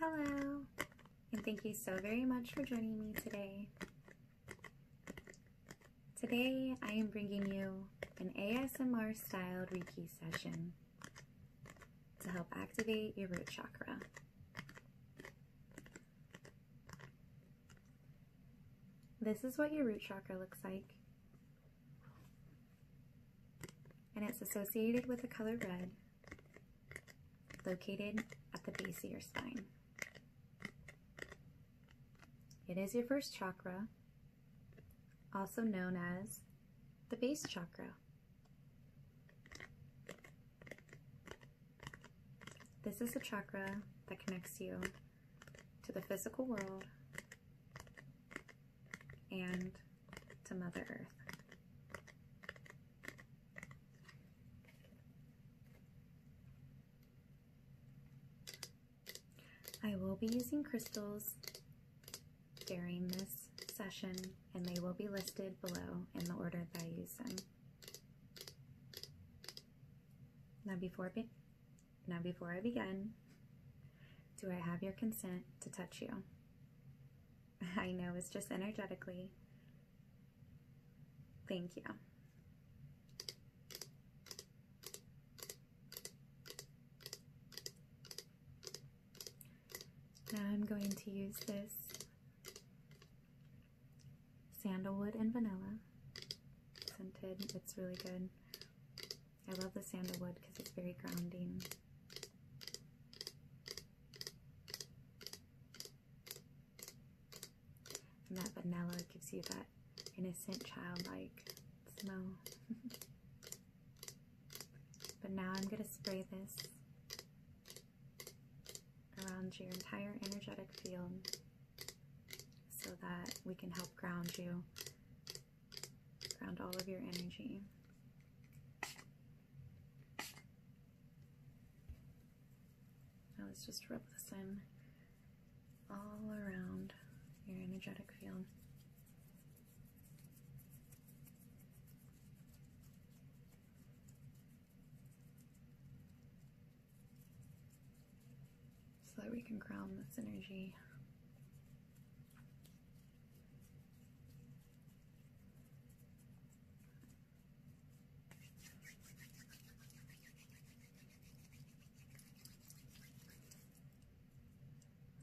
Hello, and thank you so very much for joining me today. Today, I am bringing you an ASMR styled Reiki session to help activate your root chakra. This is what your root chakra looks like and it's associated with the color red located at the base of your spine. It is your first chakra, also known as the base chakra. This is the chakra that connects you to the physical world and to Mother Earth. I will be using crystals during this session and they will be listed below in the order that I use them. Now before, be now, before I begin, do I have your consent to touch you? I know it's just energetically. Thank you. Now I'm going to use this sandalwood and vanilla scented. It's really good. I love the sandalwood because it's very grounding. And that vanilla gives you that innocent childlike smell. but now I'm going to spray this around your entire energetic field so that we can help ground you ground all of your energy. Now let's just rub this in all around your energetic field so that we can ground the energy.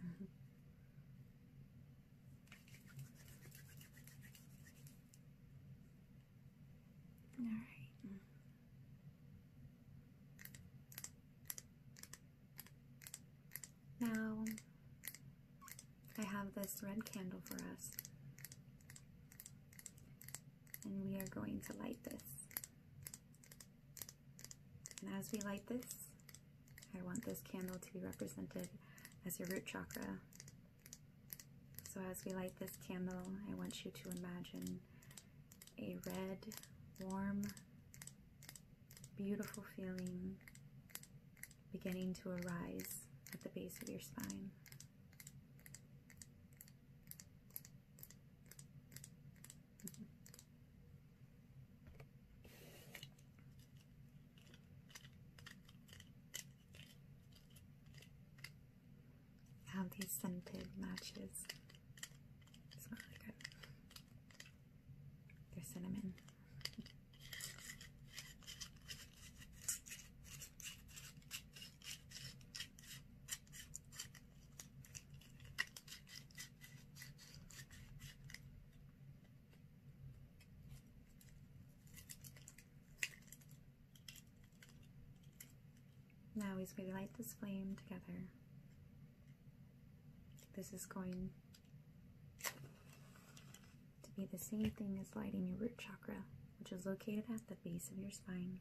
Mm-hmm. All right. Now, I have this red candle for us, and we are going to light this. And as we light this, I want this candle to be represented as your root chakra. So as we light this candle, I want you to imagine a red, warm beautiful feeling beginning to arise at the base of your spine. How these scented matches. It's really good they cinnamon. Now, as we light this flame together, this is going to be the same thing as lighting your root chakra, which is located at the base of your spine.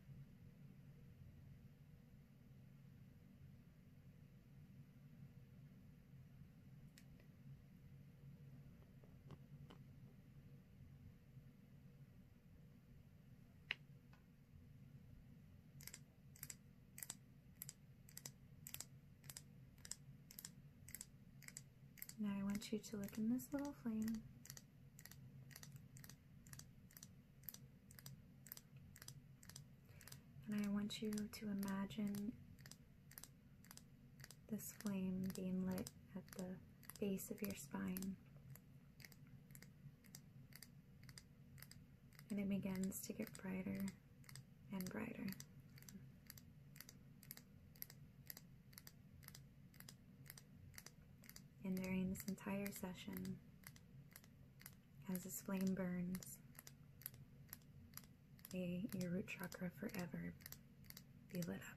Now I want you to look in this little flame. And I want you to imagine this flame being lit at the base of your spine and it begins to get brighter and brighter. And during this entire session, as this flame burns, may your root chakra forever be lit up.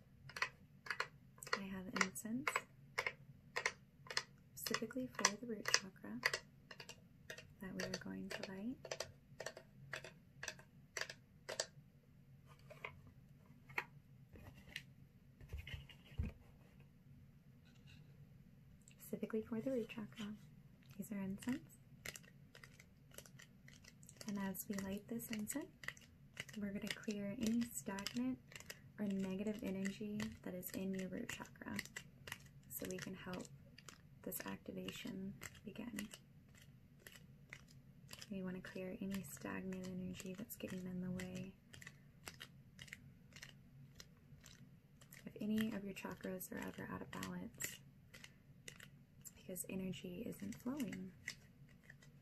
I have incense specifically for the root chakra that we are going to light. Specifically for the root chakra. These are incense. And as we light this incense, we're going to clear any stagnant or negative energy that is in your root chakra so we can help this activation begin. We want to clear any stagnant energy that's getting in the way. If any of your chakras are ever out of balance, because energy isn't flowing.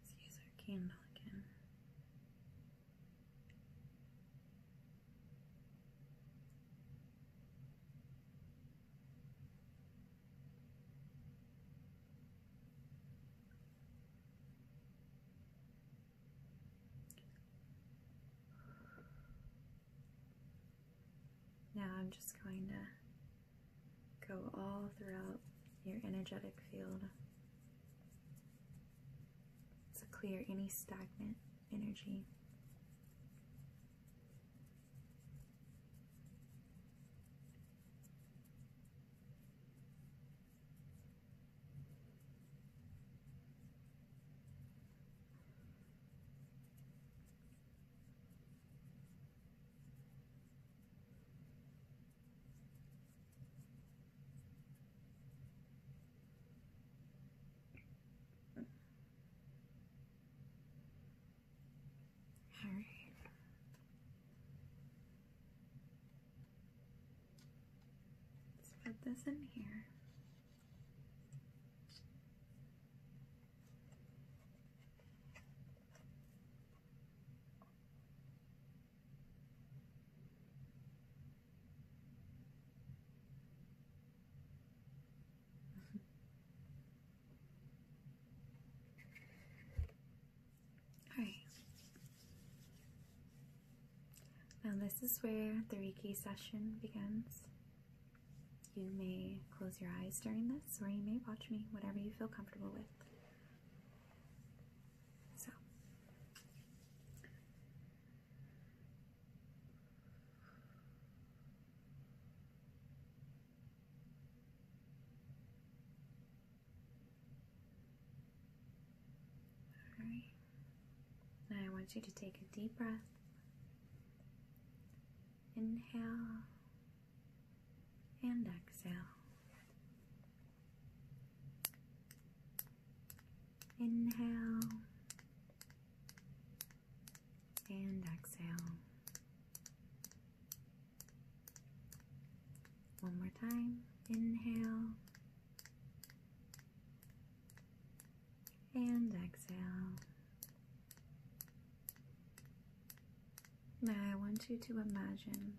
Let's use our candle again. Now I'm just going to Go all throughout your energetic field to clear any stagnant energy. All right. Let's put this in here. All right. Now, this is where the Reiki session begins. You may close your eyes during this, or you may watch me, whatever you feel comfortable with. So all right. Now I want you to take a deep breath. Inhale and exhale. Inhale and exhale. One more time. Inhale and exhale. Now I want you to imagine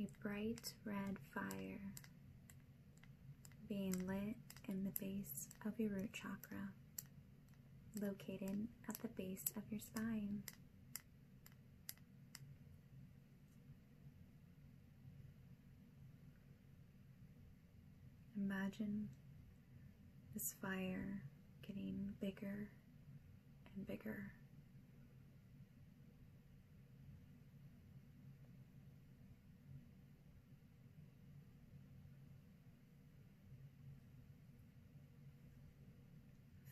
a bright red fire being lit in the base of your root chakra, located at the base of your spine. Imagine this fire getting bigger and bigger.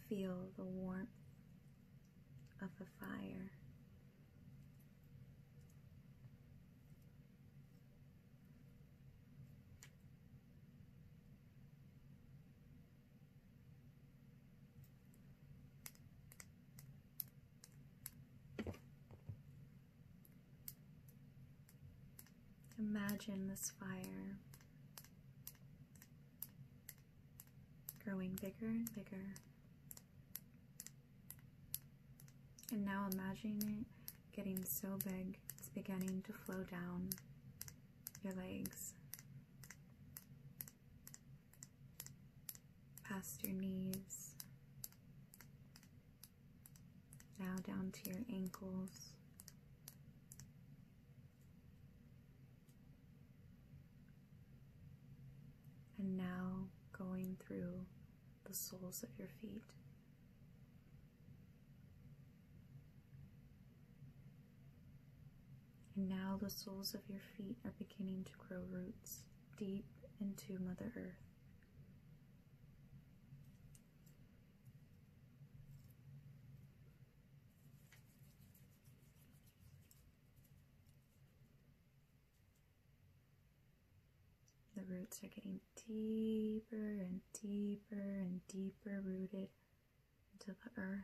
Feel the warmth of the fire. Imagine this fire growing bigger and bigger. And now imagine it getting so big it's beginning to flow down your legs, past your knees, now down to your ankles. And now going through the soles of your feet. And now the soles of your feet are beginning to grow roots deep into Mother Earth. The roots are getting deeper and deeper and deeper rooted into the earth.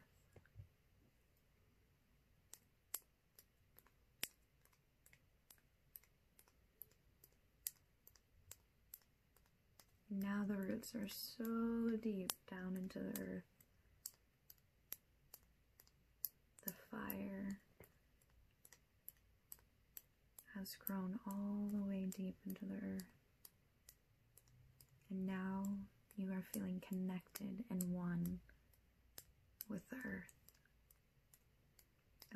Now the roots are so deep down into the earth. The fire has grown all the way deep into the earth. And now you are feeling connected and one with earth.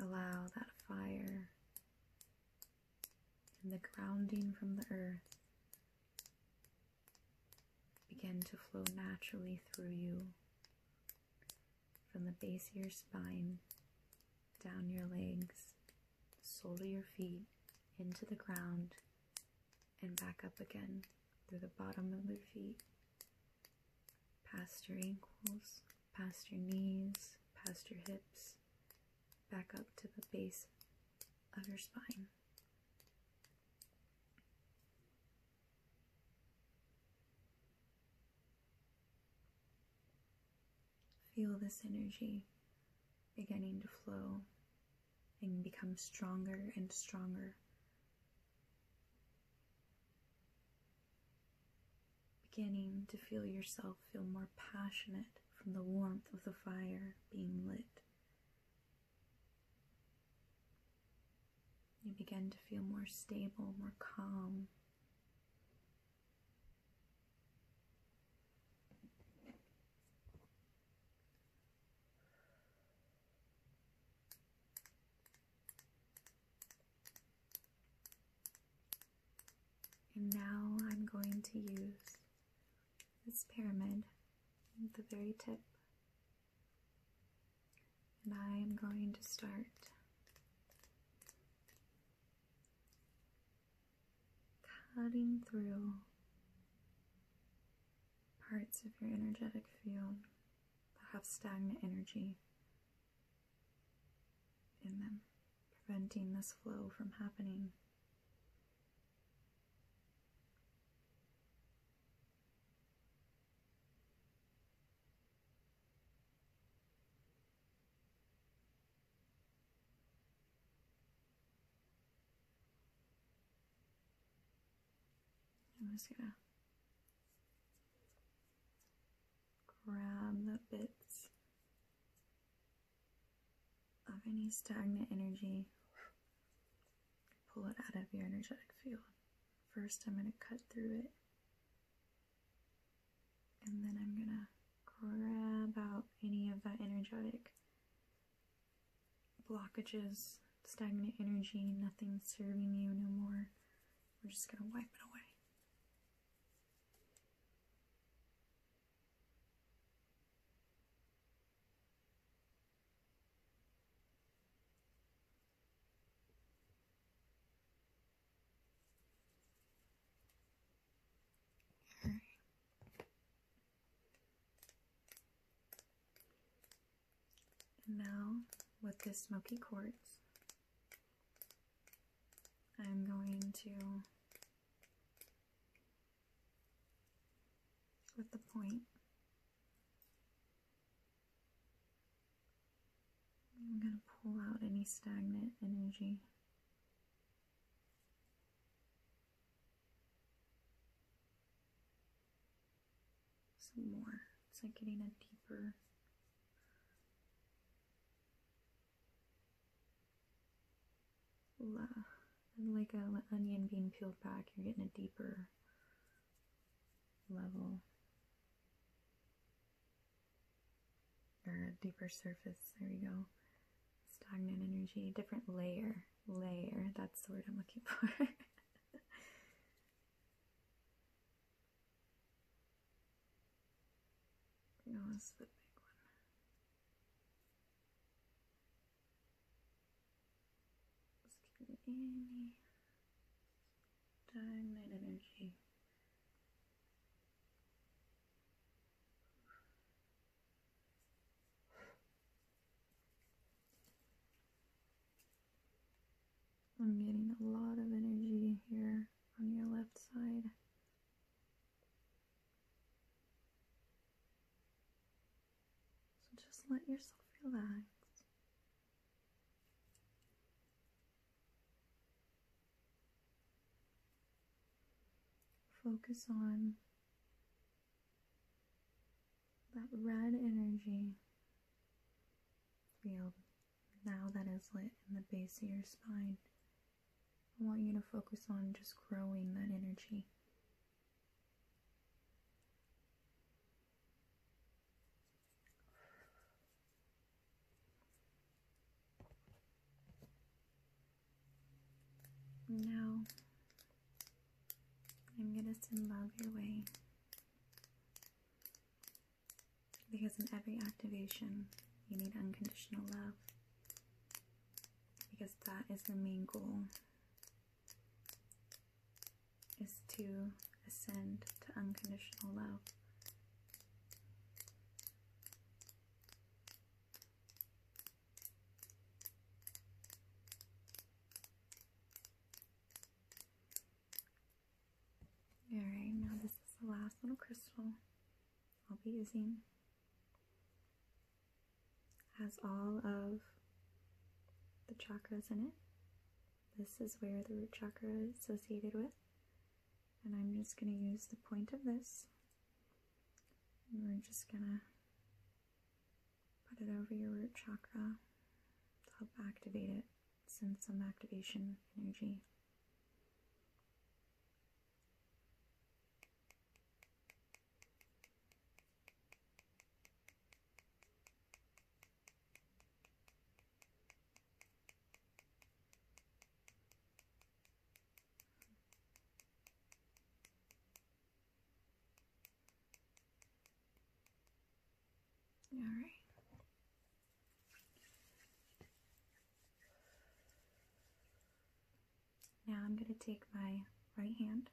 Allow that fire and the grounding from the earth begin to flow naturally through you from the base of your spine down your legs sole of your feet into the ground and back up again through the bottom of your feet, past your ankles, past your knees, past your hips, back up to the base of your spine. Feel this energy beginning to flow and become stronger and stronger. Beginning to feel yourself feel more passionate from the warmth of the fire being lit. You begin to feel more stable, more calm, and now I'm going to use this pyramid at the very tip. And I am going to start cutting through parts of your energetic field that have stagnant energy in them, preventing this flow from happening. I'm just gonna grab the bits of any stagnant energy, pull it out of your energetic field. First, I'm going to cut through it and then I'm gonna grab out any of that energetic blockages, stagnant energy, nothing serving you no more. We're just gonna wipe it away now, with this smoky quartz, I'm going to, with the point, I'm going to pull out any stagnant energy some more. It's like getting a deeper. Like an onion being peeled back, you're getting a deeper level or a deeper surface. There we go. Stagnant energy, different layer, layer. That's the word I'm looking for. no, that's the big one. stagnant energy. I'm getting a lot of energy here on your left side. So just let yourself relax. Focus on that red energy field now that is lit in the base of your spine. I want you to focus on just growing that energy. No, I'm gonna send love your way. Because in every activation, you need unconditional love. Because that is the main goal is to ascend to unconditional love. Alright, now this is the last little crystal I'll be using. Has all of the chakras in it. This is where the root chakra is associated with. And I'm just going to use the point of this we're just gonna put it over your root chakra to help activate it, sense some activation energy. All right. Now I'm going to take my right hand.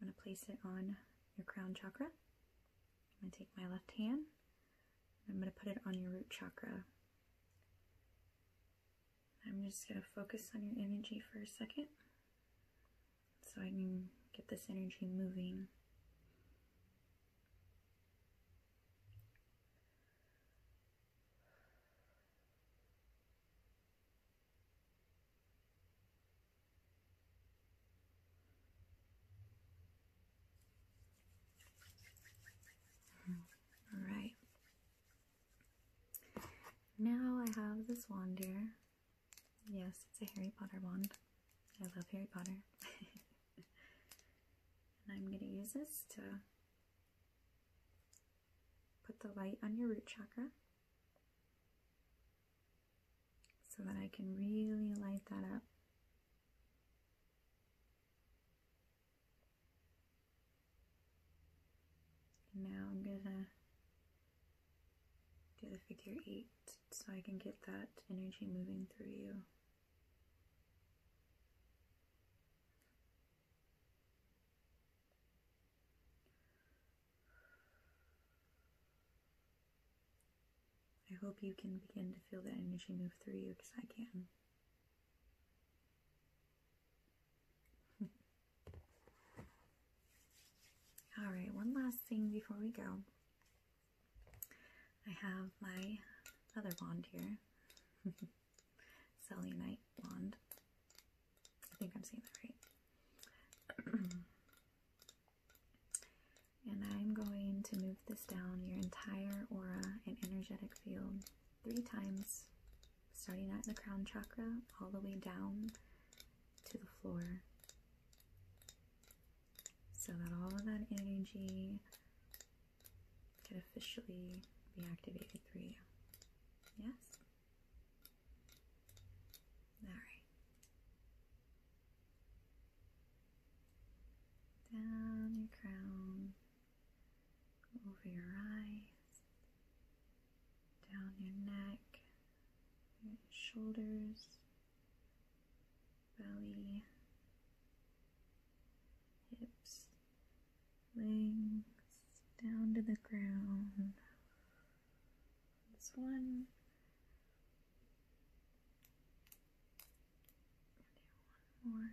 I'm going to place it on your crown chakra. I'm going to take my left hand. I'm going to put it on your root chakra. I'm just going to focus on your energy for a second so I can get this energy moving. All right. Now I have this wand here. Yes, it's a Harry Potter wand. I love Harry Potter. and I'm going to use this to put the light on your root chakra so that I can really light that up. Now I'm gonna do the figure eight so I can get that energy moving through you. I hope you can begin to feel that energy move through you because I can. All right, one last thing before we go. I have my other wand here. Selenite wand. I think I'm saying that right. and I'm going to move this down your entire aura and energetic field three times, starting at the crown chakra all the way down to the floor. So that all of that energy can officially be activated through you. Yes? Alright. Down your crown, over your eyes, down your neck, shoulders, belly, hips, legs, down to the ground. This one. one more.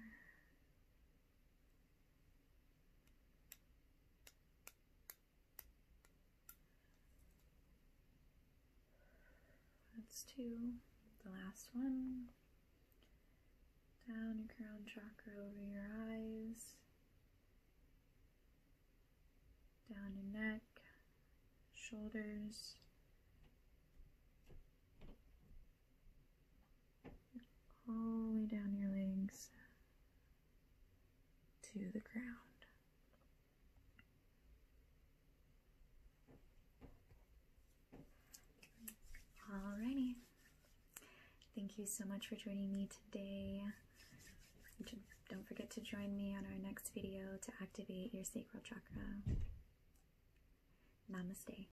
That's two. The last one. Down your crown chakra over your eyes. Down your neck, shoulders, all the way down your legs to the ground. Alrighty. Thank you so much for joining me today. Don't forget to join me on our next video to activate your sacral chakra. Namaste.